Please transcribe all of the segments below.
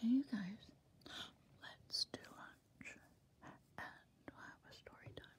Hey you guys, let's do lunch and have a story time.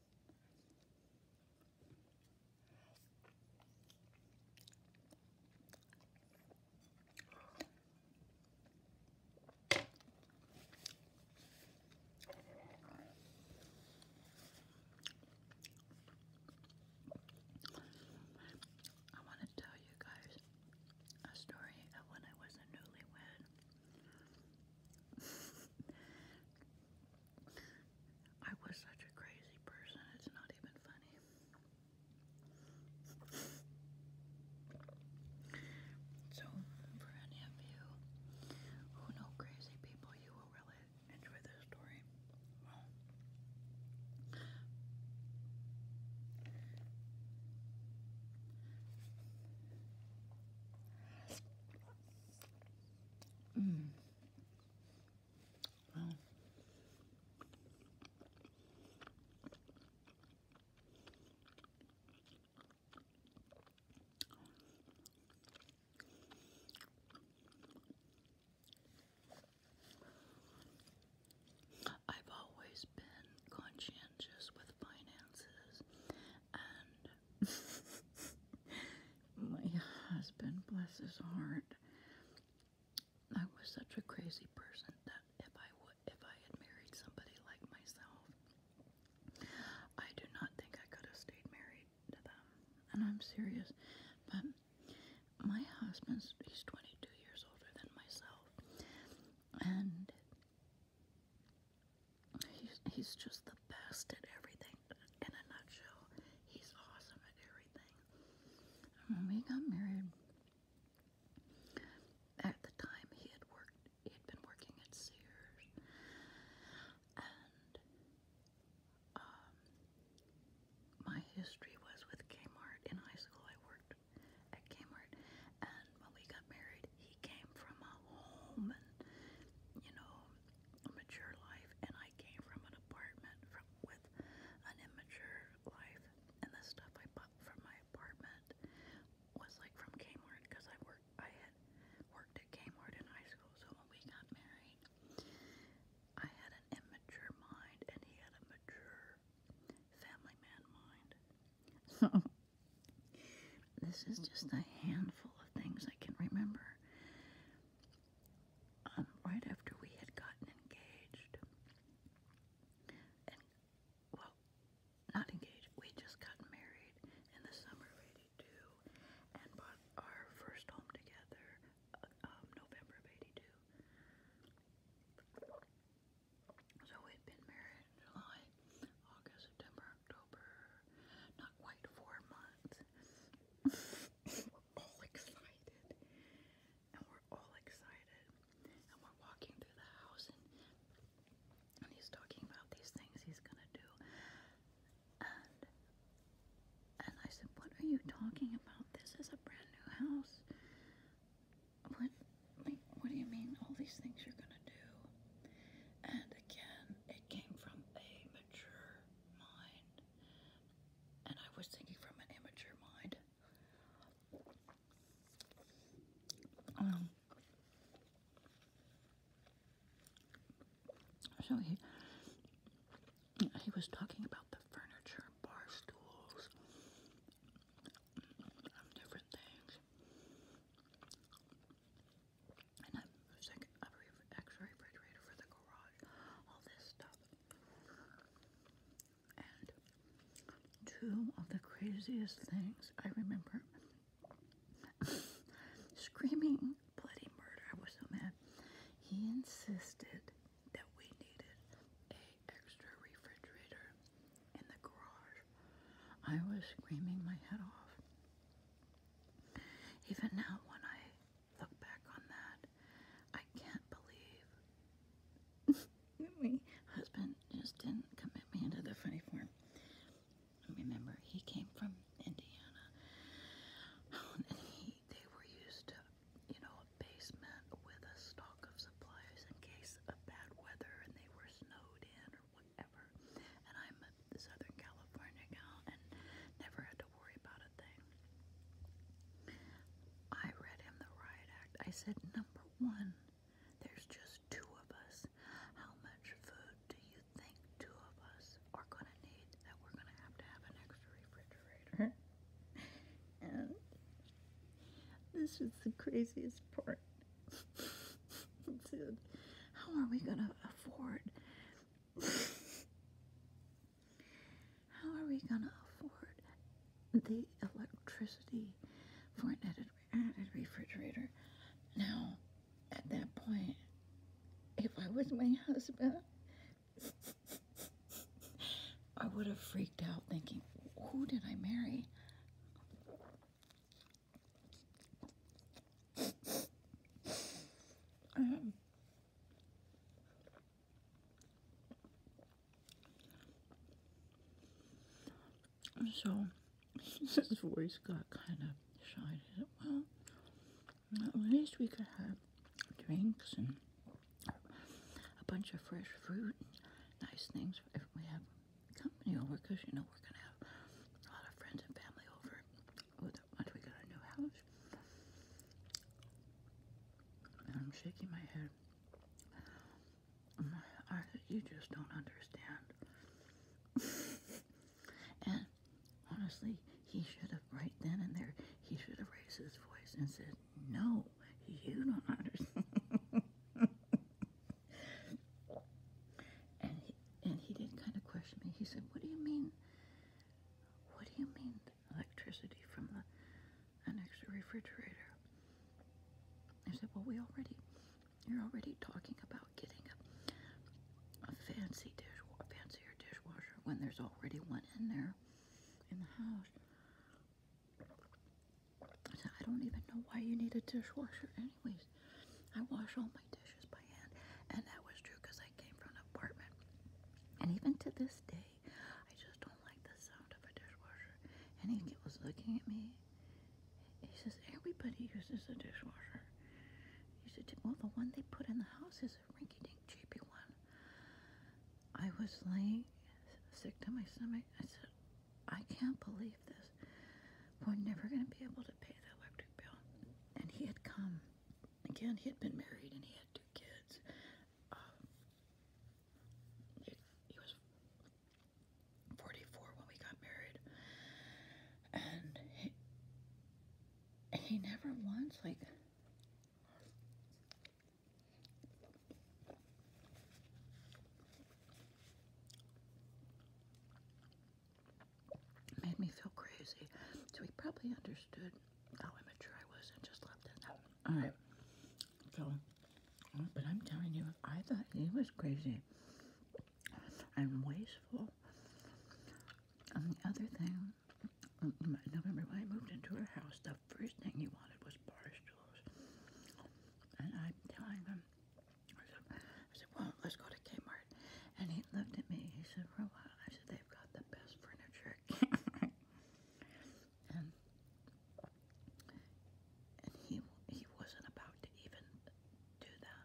I want to tell you guys a story of when I was newlywed. I was such a crazy person, it's not even funny. So, for any of you who know crazy people, you will really enjoy this story. Mm. Well. I've always been conscientious with finances and My husband, bless his heart, I was such a crazy person that if I would, if I had married somebody like myself, I do not think I could have stayed married to them. And I'm serious, but my husband's he's 22 years older than myself, and He's, he's just the best at everything. In a nutshell, he's awesome at everything. when we got married, at the time he had worked, he had been working at Sears, and um, my history was with Kmart. In high school, I worked at Kmart, and when we got married, he came from a home and you know a mature life, and I came from an apartment from with an immature life, and the stuff I bought from my apartment was like from Kmart because I worked I had worked at Kmart in high school, so when we got married, I had an immature mind, and he had a mature family man mind. So This is just a handful of things I can remember. Um, right after we had gotten engaged, well, not engaged, we just got married in the summer of '82 and bought our first home together, uh, um, November of '82. So we'd been married in July, August, September, October. Not quite four months. we're all excited. And we're all excited. And we're walking through the house and he's talking about these things he's gonna do. And and I said, What are you talking about? This is a brand new house. What like what do you mean all these things you're gonna do? And again, it came from a mature mind. And I was thinking from an immature mind. Um, so he was talking about the furniture, bar stools, um, different things. And I'm using a extra refrigerator for the garage, all this stuff. And two of the craziest things I remember screaming bloody murder. I was so mad. He insisted that we needed a extra refrigerator in the garage. I was screaming my head off. Even now, when I look back on that, I can't believe my husband just didn't commit me into the funny farm. Remember, he came from Indiana, and he they were used to, you know, a basement with a stock of supplies in case of bad weather, and they were snowed in or what ever. And I'm a Southern California gal and never had to worry about a thing. I read him the riot act. I said, number one, there's just two of us. How much food do you think two of us are going to need that we're going to have to have an extra refrigerator? and this is the craziest part how are we going to afford? how are we going to afford the electricity for an added refrigerator? Now, at that point, if I was my husband, I would have freaked out thinking, who did I marry? so his voice got kind of shy. Said, well, at least we could have drinks and a bunch of fresh fruit, nice things. If we have company over you know we're gonna have a lot of friends and family over once we get our new house. I'm shaking my head. you just don't understand. and honestly, he should have right then and there. He should have raised his voice and said, "No, you don't understand." and he, and he did kind of question me. He said, "What do you mean? What do you mean electricity from the an extra refrigerator?" I said, "Well, we already you're already talking about getting a, fancy dish, a dishwasher when there's already one in there in the house." I don't even know why you need a dishwasher, anyways. I wash all my dishes by hand, and that was true because I came from an apartment. And even to this day, I just don't like the sound of a dishwasher. And he was looking at me. He says, Everybody uses a dishwasher. He said, Well, the one they put in the house is a rinky dink, cheapy one. I was like, sick to my stomach. I said, I can't believe we're never going to be able to pay the electric bill. And he had come. Again, he had been married and he had two kids. Um, he, was 44 when we got married. And he never once, like, Made me feel crazy. So he probably understood how immature I was and just left it out. Alright. So, uh, but I'm telling you, I thought he was crazy and wasteful. And the other thing, remember when I moved into her house, the first thing he wanted was bar stools. And I'm telling him, I said, well, let's go to Kmart. And he looked at me. He said, for a while. I said, they've got the best furniture and, and he, he wasn't about to even do that.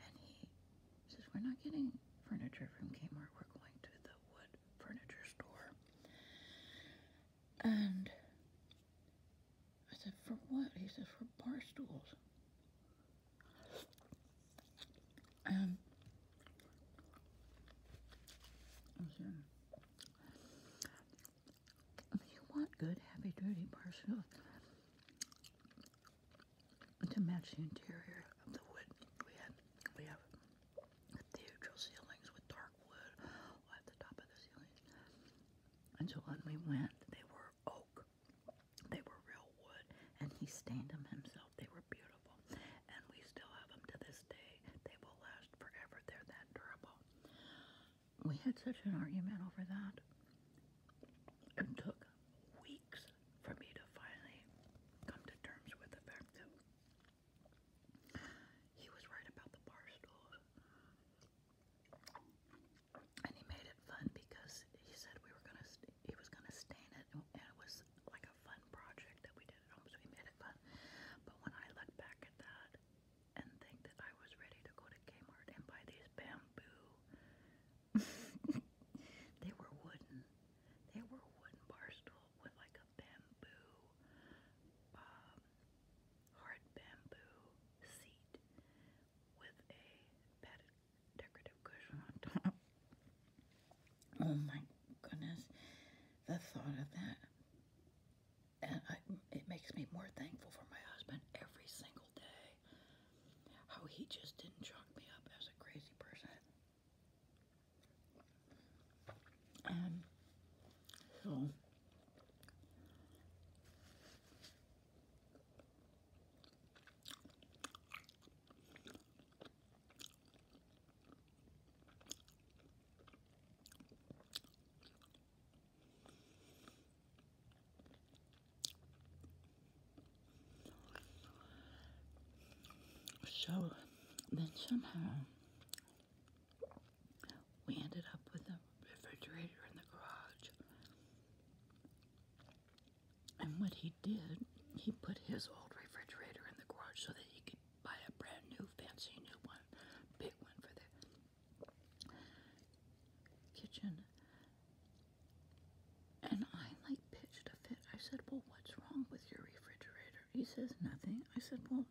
And he says, we're not getting furniture from Kmart. We're going to the wood furniture store. And I said, for what? He says, for bar stools. Um, and you want good, heavy duty bar stools to match the interior of the wood we had. We have cathedral ceilings with dark wood at the top of the ceilings. And so when we went, they were oak. They were real wood. And he stained them himself. They were beautiful. And we still have them to this day. They will last forever. They're that durable. We had such an argument over that. It took weeks for me to finally come to terms with the fact that he was right about the bar stools and he made it fun because he said we were gonna he was gonna stain it and it was like a fun project that we did at home so he made it fun but when I look back at that and think that I was ready to go to Kmart and buy these bamboo they were wooden they were a wooden bar stool with like a bamboo um, hard bamboo seat with a padded decorative cushion on top. Oh my goodness, the thought of that. And it makes me more thankful for my husband every single day. How he just didn't chalk me up as a crazy person. Um, so so then somehow we ended up with a refrigerator in the garage. And what he did, he put his old refrigerator in the garage so that he could buy a brand new, fancy new one, big one for the kitchen. And I like pitched a fit. I said, Well, what's wrong with your refrigerator? He says, Nothing. I said, Well,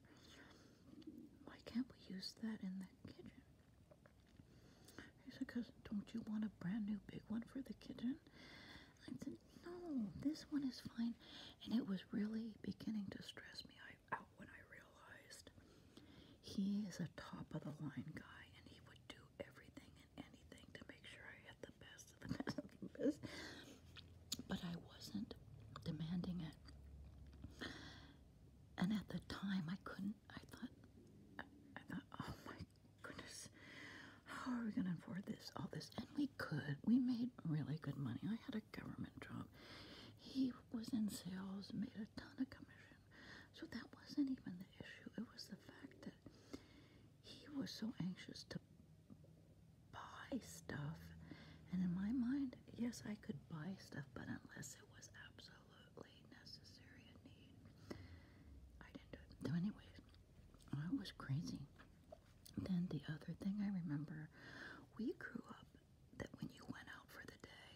why can't we use that in the kitchen? He said, Cause don't you want a brand new big one for the kitchen? I said, No, this one is fine. And it was really beginning to stress me out when I realized he is a top of the line guy and he would do everything and anything to make sure I had the best of the best of the best. But I wasn't demanding it and at the time I couldn't I thought I, thought oh my goodness how are we gonna afford this all this and we could we made really good money I had a government job he was in sales made a ton of commission so that wasn't even the issue it was the fact that he was so anxious to buy stuff and in my mind yes I could buy stuff but unless it was absolutely necessary and need. I didn't do it. So, anyways, I was crazy. Then the other thing I remember, we grew up that when you went out for the day,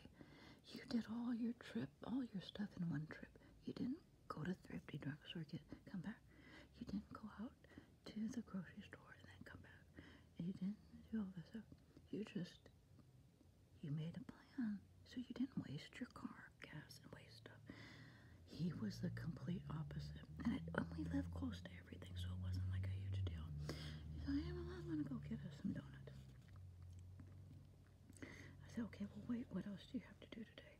you did all your trip, all your stuff in one trip. You didn't go to thrifty drugstore, get come back. You didn't go out to the grocery store and then come back. you didn't do all this stuff. You just you made a plan so you didn't waste your car, gas, and waste stuff. He was the complete opposite. And, it, and we live close to everything, so it wasn't like a huge deal. He said, I'm going to go get us some donuts. I said, okay, well, wait, what else do you have to do today?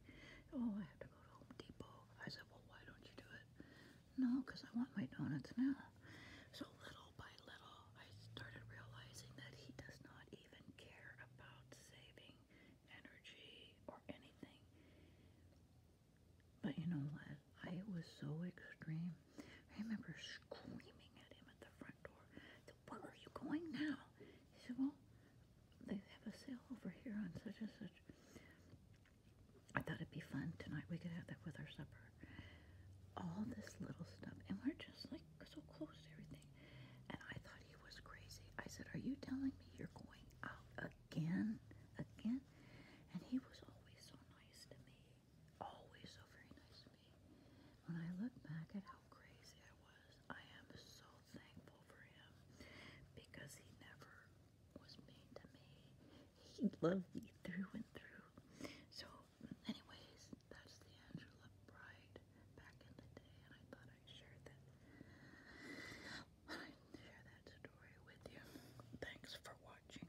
Oh, I have to go to Home Depot. I said, well, why don't you do it? No, because I want my donuts now. So little little by little, I started realizing that he does not even care about saving energy or anything. But you know what? I was so extreme. I remember screaming at him at the front door, Where are you going now? He said, Well, they have a sale over here on such and such. I thought it'd be fun tonight. We could have that with our supper all this little stuff, and we're just like so close to everything. And I thought he was crazy. I said, Are you telling me you're going out again? Again? And he was always so nice to me. Always so very nice to me. When I look back at how crazy I was, I am so thankful for him because he never was mean to me. He loved me through and through. So anyways, that's the Angela Bride back in the day, and I thought I'd share that. share that story with you. Thanks for watching.